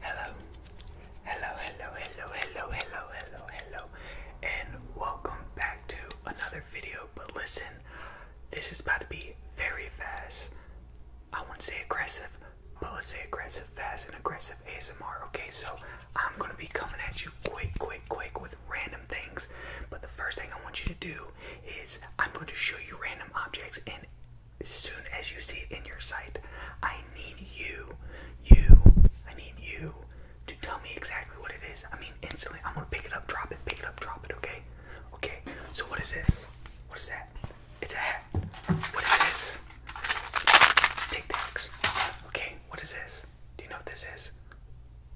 Hello, hello, hello, hello, hello, hello, hello, hello, and welcome back to another video. But listen, this is about to be very fast. I wouldn't say aggressive, but let's say aggressive, fast, and aggressive ASMR. Okay, so I'm gonna be coming at you quick, quick, quick with random things. But the first thing I want you to do is I'm going to show you random objects and as soon as you see it in your sight. I need you, you, I need you to tell me exactly what it is. I mean, instantly, I'm gonna pick it up, drop it, pick it up, drop it, okay? Okay, so what is this? What is that? It's a hat. What is this? this? Tic Tacs. Okay, what is this? Do you know what this is?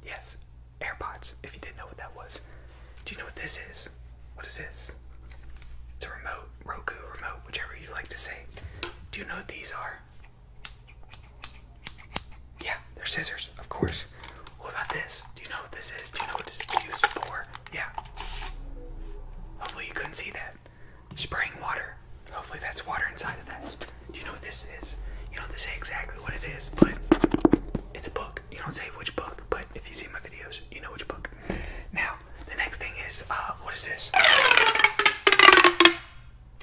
Yes, AirPods, if you didn't know what that was. Do you know what this is? What is this? It's a remote, Roku remote, whichever you like to say. Do you know what these are? Yeah, they're scissors, of course. What about this? Do you know what this is? Do you know what this is used for? Yeah. Hopefully you couldn't see that. Spraying water. Hopefully that's water inside of that. Do you know what this is? You don't have to say exactly what it is, but it's a book. You don't say which book, but if you see my videos, you know which book. Now, the next thing is, uh, what is this?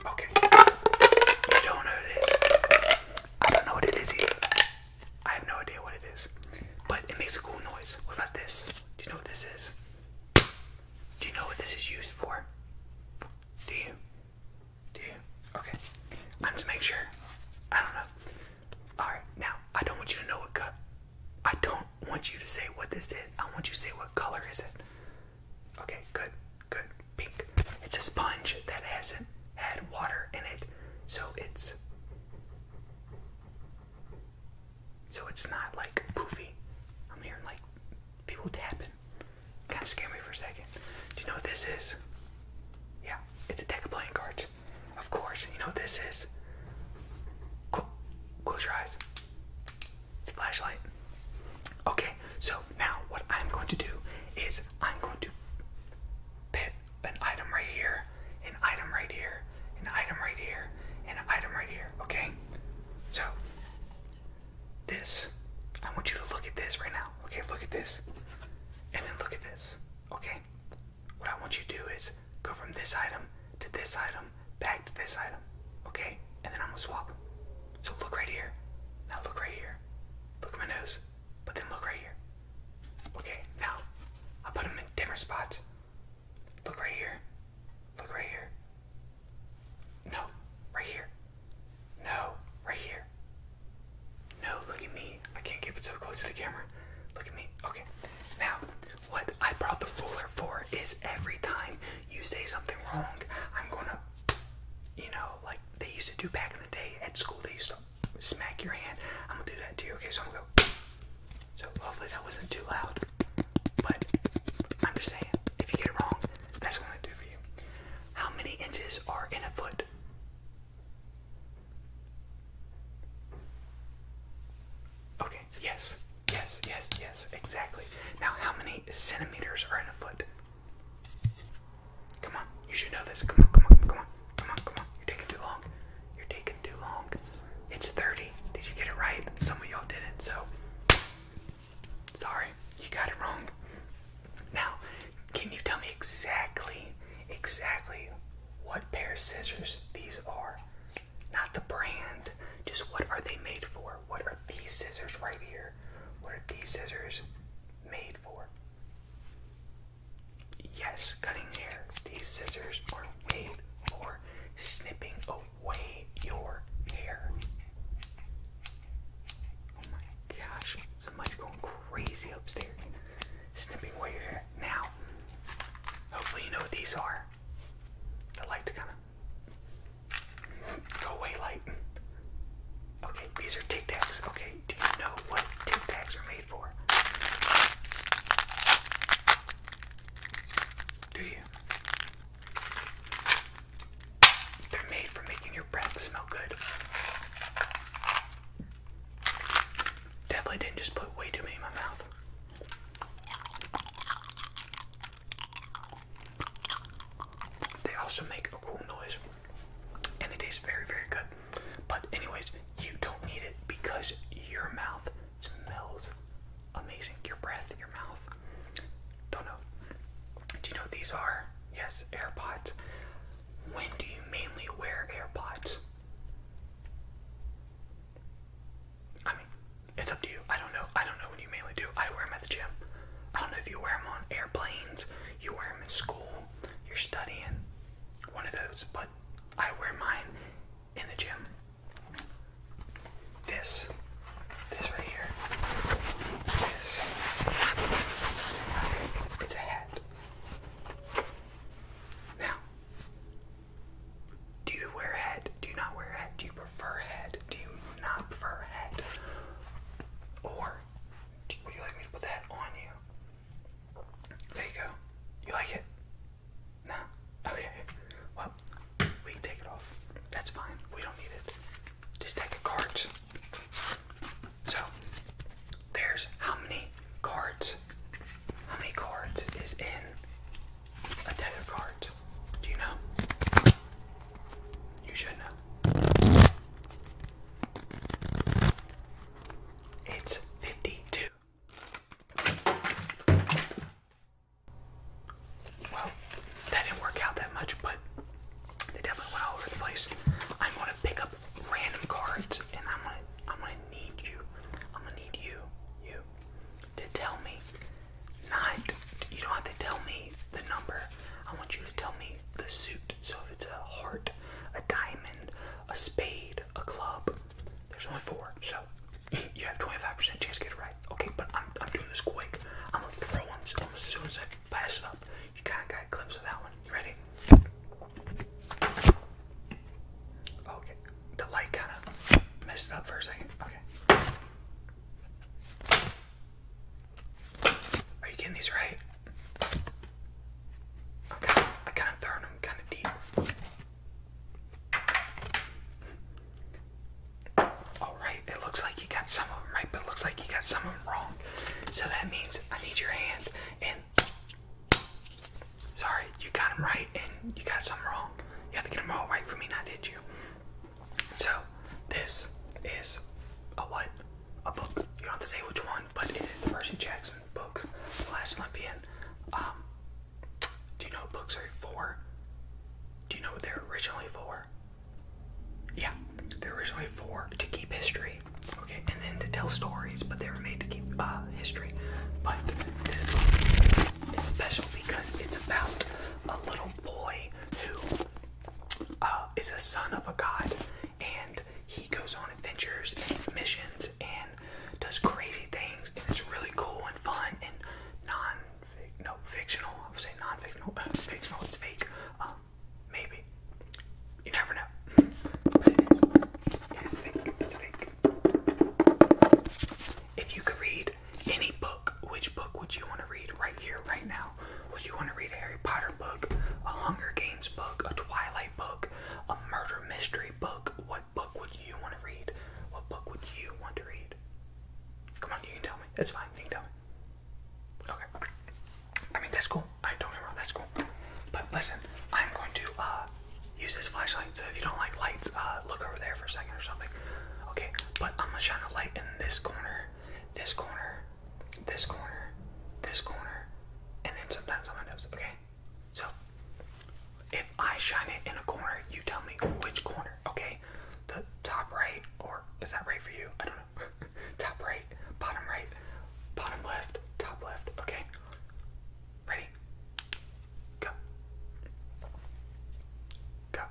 Okay. You don't know what it is. I don't know what it is either. I have no idea what it is. But it makes a cool noise. What about this? Do you know what this is? Do you know what this is used for? Do you? Do you? Okay. I'm to make sure. I don't know. Alright, now, I don't want you to know what cut I don't want you to say what this is. I want you to say what color is it. Okay, good, good. Pink. It's a sponge that hasn't had water in it, so it's so it's not like poofy. I'm hearing like people tapping. Kind of scare me for a second. Do you know what this is? Yeah, it's a deck of playing cards. Of course, you know what this is. close your eyes. It's a flashlight. Okay, so now what I'm going to do is I'm going to put an item right here, an item right here, an item right here, and an item right here, okay? So, this, I want you to look at this right now, okay? Look at this, and then look at this, okay? What I want you to do is go from this item to this item, back to this item, okay? And then I'm gonna swap So look right here. Now look right here. Look at my nose, but then look right here. Okay, now I'll put them in different spots. Look right here. Look right here. No, right here. No, right here. No, look at me. I can't keep it so close to the camera. Look at me. Okay. Now, what I brought the ruler for is every time you say something wrong, I'm gonna, you know, like they used to do back in the day at school, they used to smack your hand. I'm gonna do that to you. Okay, so I'm gonna go. So hopefully that wasn't too loud. But I'm just saying, if you get it wrong, that's what i do for you. How many inches are in a foot? Okay, yes, yes, yes, yes, exactly. Now, how many centimeters are in a foot? Come on, you should know this. Come on, come on, come on, come on, come on. You're taking too long. You're taking too long. It's 30. Did you get it right? Some of y'all didn't, so sorry, you got it wrong. Now, can you tell me exactly, exactly what pair of scissors these are? Not the brand, just what are they made for? What are these scissors right here? What are these scissors made for? Yes, cutting hair. These scissors are made for snipping away your hair. Oh my gosh, somebody's going crazy upstairs, snipping away your hair. Now, hopefully, you know what these are. The light kind of go away, light. Okay, these are Tic Tacs. Okay, do you know what Tic Tacs are made for? Do you? They're made for making your breath smell good. Definitely didn't just put way too many in my mouth. They also make a cool noise and it tastes very, very good. But, anyways, you don't need it because your mouth smells amazing. Your breath, your mouth. Don't know. Do you know what these are? Yes, AirPods. When do you mainly wear AirPods? I mean, it's up to you. I don't know. I don't know when you mainly do. I wear them at the gym. I don't know if you wear them on airplanes, you wear them in school, you're studying, one of those, but I wear mine in the gym. This, this right here, it's a hat. Now, do you wear a hat? Do you not wear a hat? Do you prefer a hat? Do you not prefer a hat? Or do, you like me to put hat on you? There you go. You like it? No? Okay. Well, we can take it off. That's fine. We don't need it. Just take the cards. So there's how many cards? How many cards is in a deck of cards? Do you know? You should know. It's 52. Well, that didn't work out that much, but they definitely went all over the place. I'm gonna pick up random cards, and I'm gonna I'm gonna need you. I'm gonna need you, you, to tell me. Not you don't have to tell me the number. I want you to tell me the suit. So if it's a heart, a diamond, a spade, a club. There's only four, so you have 25% chance to get it right. Okay, but I'm, I'm doing this quick. I'm gonna throw them as soon as I pass it up. You kind of got a glimpse of that one. You ready? Okay. The light kind of messed up for a second. Okay. Are you getting these right? i I kind of throwing them kind of deep. All right, it looks like you got some of them right, but it looks like you got some of them wrong. So that means I need your hand and sorry, you got them right and you got some wrong. You have to get them all right for me, Now, did you? So this is a what? A book. You don't have to say which one, but it is the Percy Jackson books, The Last Olympian. Um, do you know what books are for? Do you know what they're originally for? Yeah, there was only four to keep history, okay, and then to tell stories, but they were made to keep uh, history. But this book is special because it's about a little boy who uh, is a son of a god, and he goes on adventures and missions and does crazy things, and it's really cool and fun and non no, fictional. I would say non-fictional. It's fictional. It's fake. Um, maybe. You never know. it's fake. It's fake. If you could read any book, which book would you want to read right here, right now? Would you want to read a Harry Potter book, a Hunger Games book, a Twilight book, a murder mystery book? What book would you want to read? What book would you want to read? Come on, you can tell me. It's fine, you can tell me. Okay. I mean, that's cool. I don't get that's cool. But listen, I'm going to uh, use this flashlight, so if you don't like lights, uh, look over there for a second or something. Okay, but I'm gonna shine a light in this corner, this corner, this corner, this corner, and then sometimes on my nose, okay? So, if I shine it in a corner, you tell me which corner, okay? the top right, or is that right for you? I don't know. top right, bottom right, bottom left, top left. Okay. Ready? Go. Go.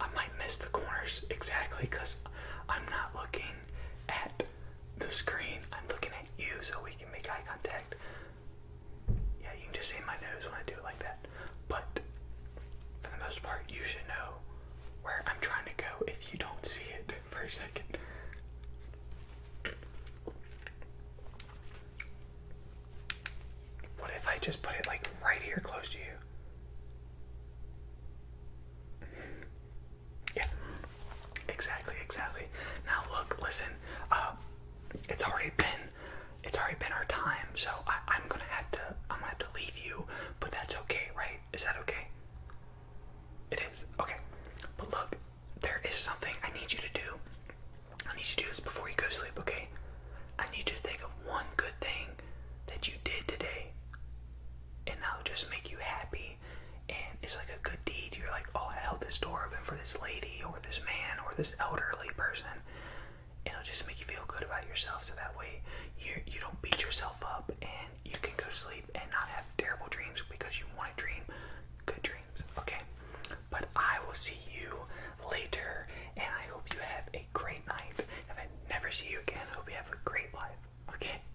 I might miss the corners exactly because I'm not looking at the screen. I'm looking at you so we can make eye contact. Yeah, you can just see my nose when I do it like that. But for the most part, you should know where I'm trying to go if you don't see it for a second. What if I just put it like right here close to you? Yeah, exactly, exactly. Now look, listen. Uh, it's already been, it's already been our time. So I, I'm gonna have to, I'm gonna have to leave you. But that's okay, right? Is that okay? It is okay. But look, there is something I need you to do. I need you to do this before you go to sleep, okay? I need you to think of one good thing that you did today, and that'll just make you happy and it's like a good deed. You're like, oh, I held this door open for this lady or this man or this elderly person. And it'll just make you feel good about yourself so that way you you don't beat yourself up and you can go to sleep and not have terrible dreams because you want to dream good dreams. Okay. But I will see you later and I hope you have a great night. If I never see you again, I hope you have a great life. Okay?